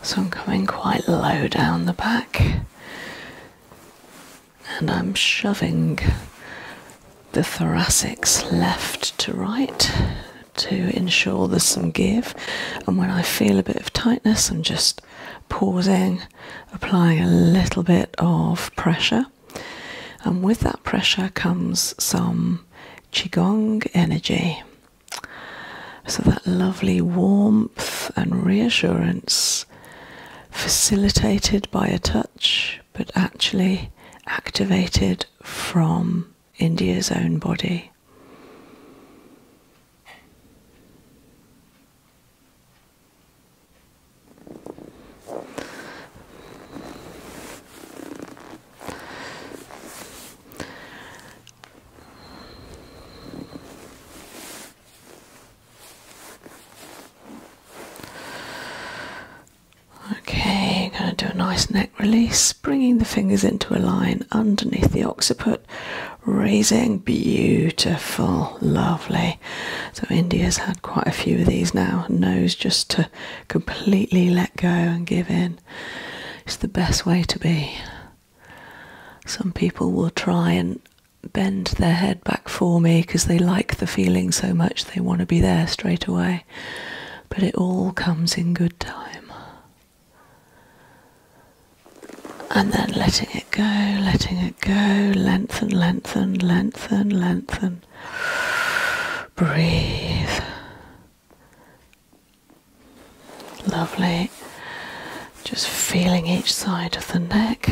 So I'm coming quite low down the back and I'm shoving the thoracics left to right to ensure there's some give. And when I feel a bit of tightness, I'm just pausing, applying a little bit of pressure. And with that pressure comes some Qigong energy. So that lovely warmth and reassurance facilitated by a touch but actually activated from India's own body. Okay, going to do a nice neck release, bringing the fingers into a line underneath the occiput, raising. Beautiful, lovely. So, India's had quite a few of these now. Knows just to completely let go and give in. It's the best way to be. Some people will try and bend their head back for me because they like the feeling so much they want to be there straight away. But it all comes in good time. And then letting it go, letting it go, lengthen, lengthen, lengthen, lengthen. Breathe. Lovely. Just feeling each side of the neck.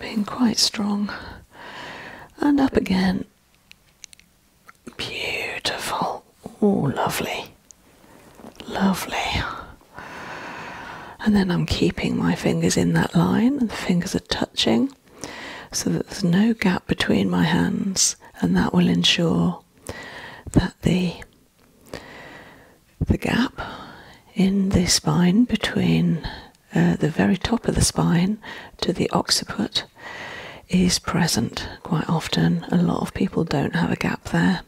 Being quite strong. And up again. Beautiful. Oh, lovely. Lovely. And then I'm keeping my fingers in that line, and the fingers are touching so that there's no gap between my hands and that will ensure that the the gap in the spine between uh, the very top of the spine to the occiput is present quite often. A lot of people don't have a gap there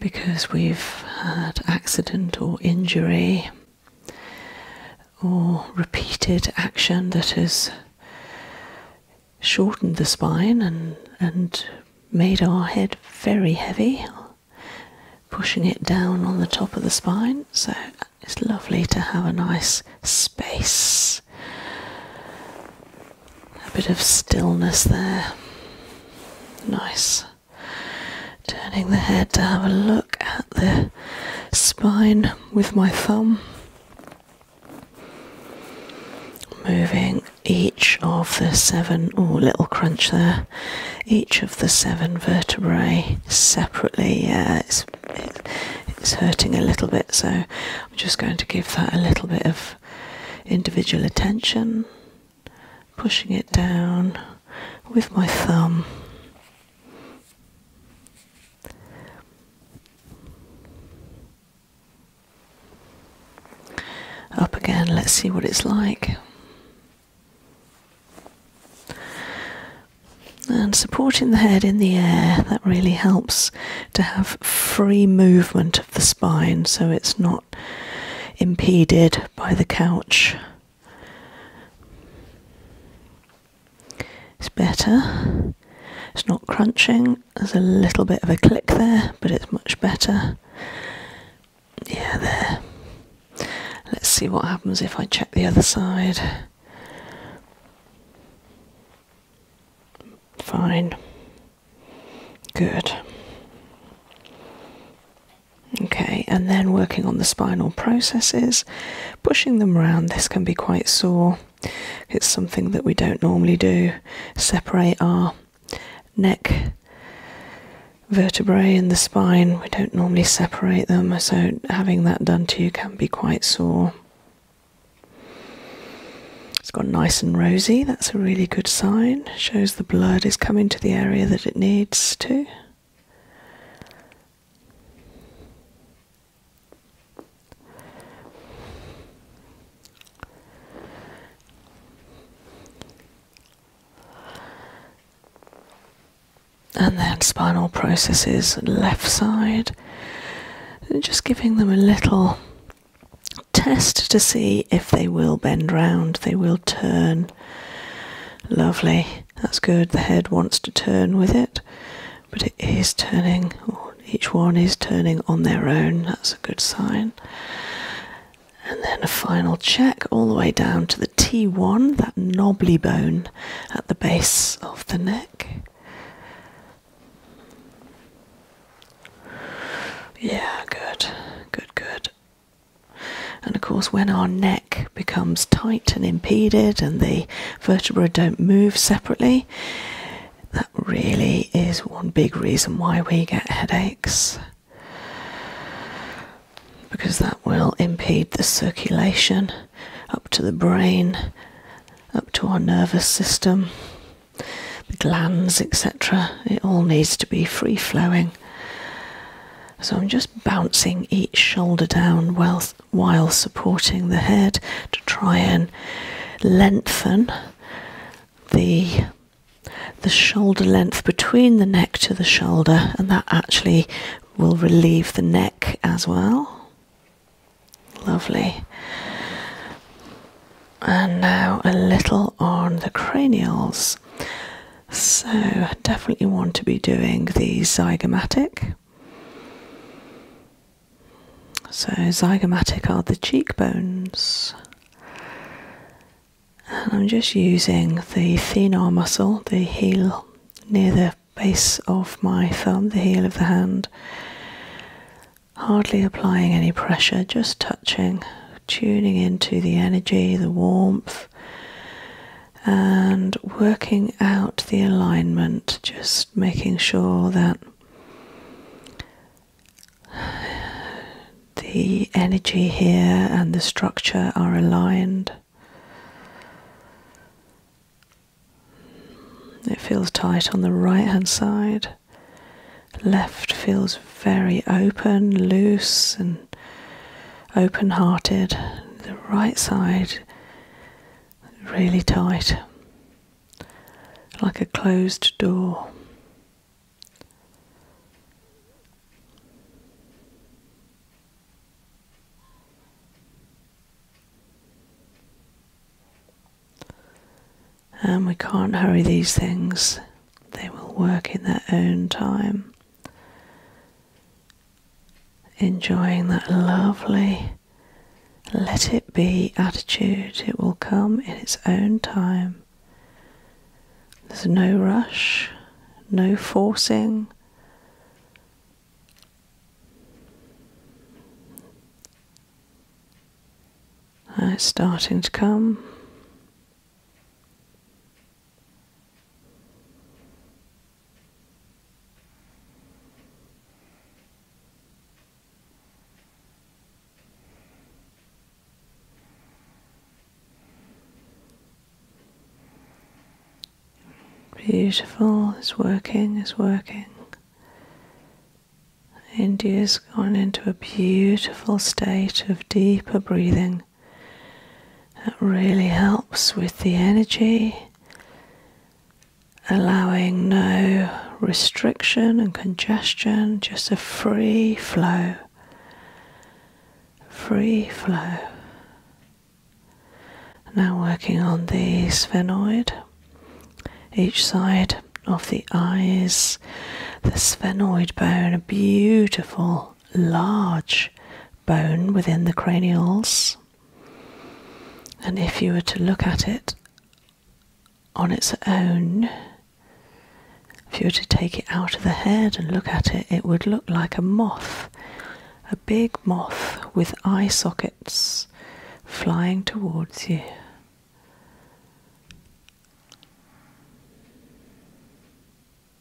because we've had accident or injury or repeated action that has shortened the spine and, and made our head very heavy, pushing it down on the top of the spine. So it's lovely to have a nice space, a bit of stillness there. Nice turning the head to have a look at the spine with my thumb, moving each of the seven, oh, little crunch there, each of the seven vertebrae separately. Yeah, it's, it's hurting a little bit, so I'm just going to give that a little bit of individual attention, pushing it down with my thumb. Up again, let's see what it's like. And supporting the head in the air, that really helps to have free movement of the spine so it's not impeded by the couch. It's better. It's not crunching. There's a little bit of a click there, but it's much better. Yeah, there. Let's see what happens if I check the other side. Fine. Good. Okay, and then working on the spinal processes, pushing them around. This can be quite sore. It's something that we don't normally do. Separate our neck vertebrae and the spine. We don't normally separate them, so having that done to you can be quite sore. It's got nice and rosy. That's a really good sign. Shows the blood is coming to the area that it needs to. And then spinal processes left side, just giving them a little test to see if they will bend round, they will turn. Lovely. That's good. The head wants to turn with it, but it is turning. Each one is turning on their own. That's a good sign. And then a final check all the way down to the T1, that knobbly bone at the base of the neck. Yeah, good, good, good. And of course, when our neck becomes tight and impeded and the vertebrae don't move separately, that really is one big reason why we get headaches because that will impede the circulation up to the brain, up to our nervous system, the glands, etc. It all needs to be free flowing. So I'm just bouncing each shoulder down while supporting the head to try and lengthen the the shoulder length between the neck to the shoulder and that actually will relieve the neck as well lovely and now a little on the cranials so, I definitely want to be doing the zygomatic. So, zygomatic are the cheekbones. And I'm just using the thenar muscle, the heel near the base of my thumb, the heel of the hand. Hardly applying any pressure, just touching, tuning into the energy, the warmth and working out the alignment, just making sure that the energy here and the structure are aligned. It feels tight on the right hand side. Left feels very open, loose, and open, hearted. The right side really tight, like a closed door. And we can't hurry these things, they will work in their own time. Enjoying that lovely let it be attitude, it will come in its own time. There's no rush, no forcing. It's starting to come. Beautiful, it's working, it's working. India's gone into a beautiful state of deeper breathing. That really helps with the energy, allowing no restriction and congestion, just a free flow. Free flow. Now, working on the sphenoid, each side of the eyes, the sphenoid bone, a beautiful large bone within the cranials. And if you were to look at it on its own, if you were to take it out of the head and look at it, it would look like a moth, a big moth with eye sockets flying towards you.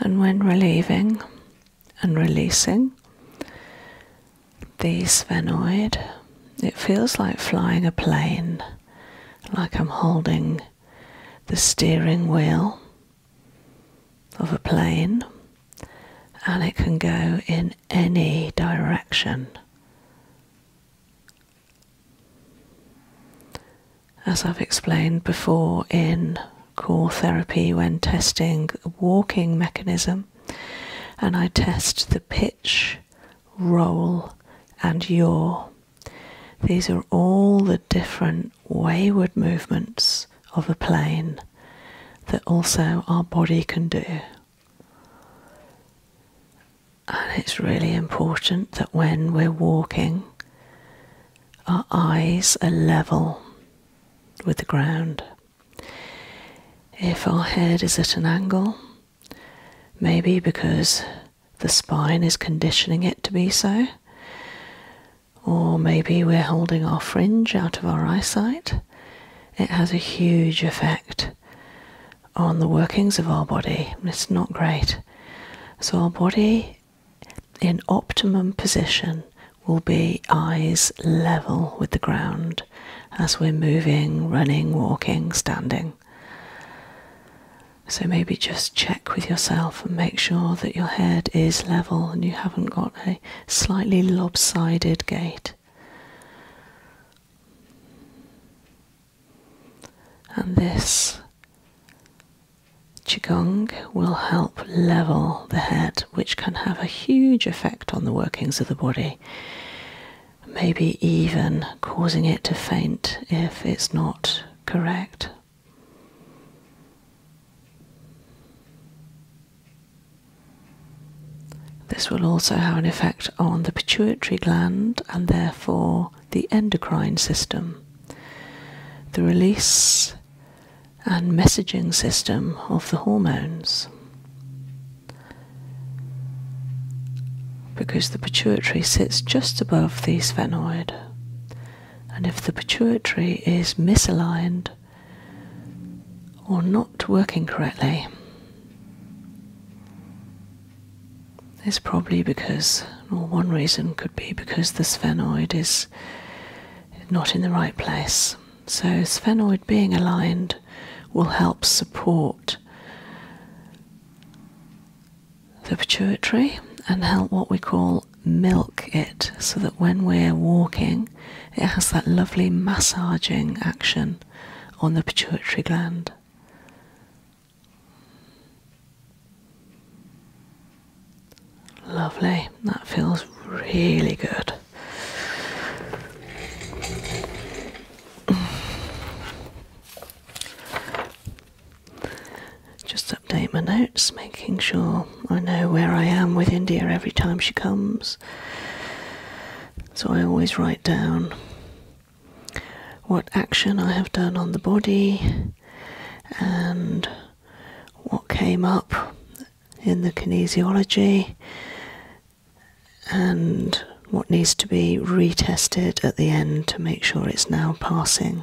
And when relieving and releasing the sphenoid, it feels like flying a plane, like I'm holding the steering wheel of a plane and it can go in any direction. As I've explained before in core therapy, when testing a walking mechanism, and I test the pitch, roll, and yaw. These are all the different wayward movements of a plane that also our body can do. And it's really important that when we're walking, our eyes are level with the ground. If our head is at an angle, maybe because the spine is conditioning it to be so, or maybe we're holding our fringe out of our eyesight. It has a huge effect on the workings of our body. It's not great. So, our body in optimum position will be eyes level with the ground as we're moving, running, walking, standing. So, maybe just check with yourself and make sure that your head is level and you haven't got a slightly lopsided gait. And this Qigong will help level the head, which can have a huge effect on the workings of the body, maybe even causing it to faint if it's not correct. This will also have an effect on the pituitary gland and therefore the endocrine system. The release and messaging system of the hormones. Because the pituitary sits just above the sphenoid, and if the pituitary is misaligned or not working correctly, it's probably because, or one reason could be because the sphenoid is not in the right place. So, sphenoid being aligned will help support the pituitary and help what we call milk it so that when we're walking, it has that lovely massaging action on the pituitary gland. Lovely, that feels really good. Just update my notes, making sure I know where I am with India every time she comes. So I always write down what action I have done on the body and what came up in the kinesiology and what needs to be retested at the end to make sure it's now passing.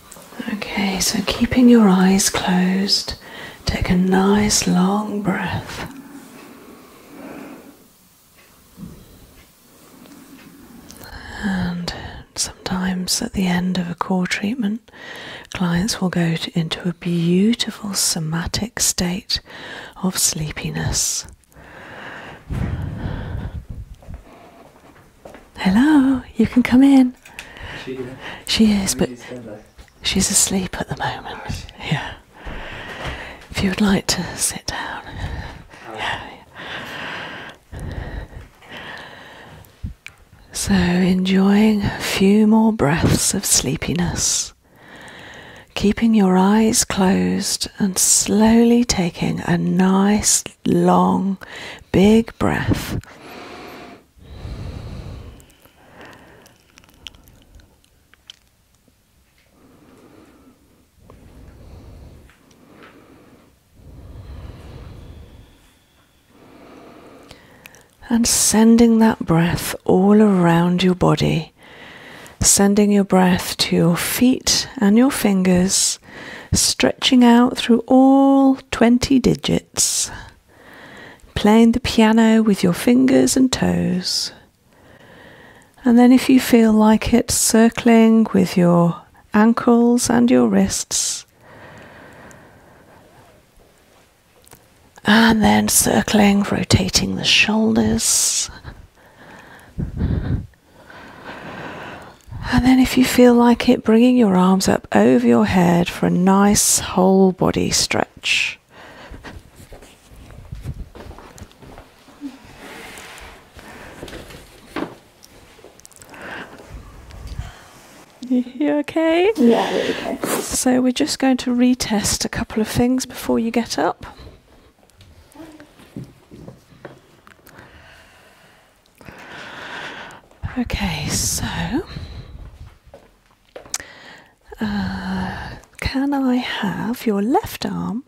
Okay, so keeping your eyes closed, take a nice long breath. And sometimes at the end of a core treatment, clients will go into a beautiful somatic state of sleepiness. Hello, you can come in. She is. She is, but she's asleep at the moment. Yeah. If you would like to sit down. Yeah. So, enjoying a few more breaths of sleepiness, keeping your eyes closed and slowly taking a nice, long, big breath and sending that breath all around your body, sending your breath to your feet and your fingers, stretching out through all 20 digits playing the piano with your fingers and toes. And then, if you feel like it, circling with your ankles and your wrists. And then circling, rotating the shoulders. And then, if you feel like it, bringing your arms up up over your head for a nice whole body stretch. You okay? Yeah, okay. So we're just going to retest a couple of things before you get up. Okay, so uh, can I have your left arm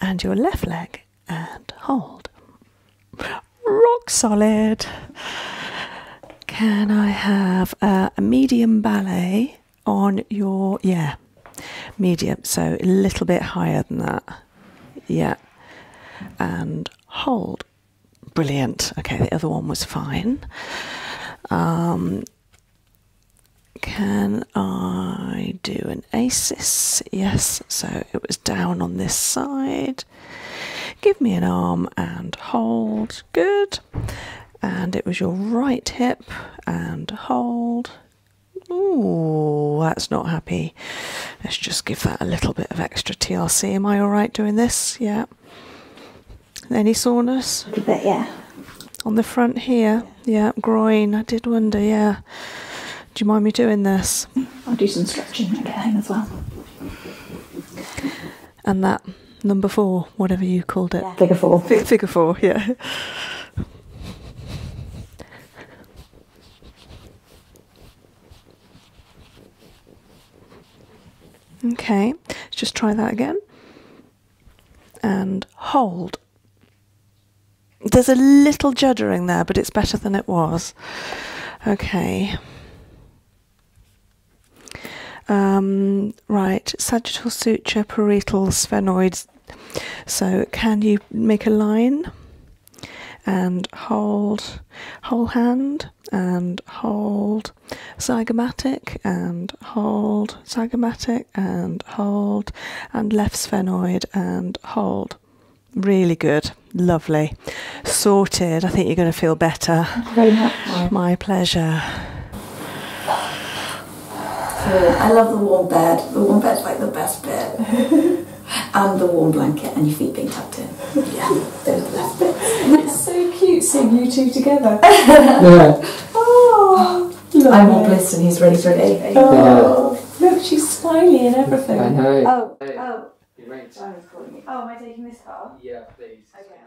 and your left leg and hold? Rock solid. Can I have a medium ballet on your, yeah, medium, so a little bit higher than that. Yeah. And hold. Brilliant. Okay, the other one was fine. Um, can I do an asis? Yes, so it was down on this side. Give me an arm and hold. Good. And it was your right hip and hold. Ooh, that's not happy. Let's just give that a little bit of extra T.R.C. Am I all right doing this? Yeah, any soreness? A bit, yeah. On the front here, yeah, groin. I did wonder, yeah. Do you mind me doing this? I'll do some stretching when get home as well. And that number four, whatever you called it. Yeah. Figure four. Fig four, yeah. Okay, let's just try that again. And hold. There's a little juddering there, but it's better than it was. Okay. Um, right, sagittal suture, parietal sphenoids. So can you make a line and hold whole hand? and hold zygomatic and hold zygomatic and hold and left sphenoid and hold really good lovely sorted i think you're going to feel better my pleasure I love the warm bed. The warm bed's like the best bit, and the warm blanket and your feet being tucked in. Yeah, it's so cute seeing you two together. yeah. Oh, lovely. I'm all bliss and he's ready for an Oh, look, she's smiling and everything. I know. Oh, oh. oh. It Oh, am I taking this car? Yeah, please. Okay.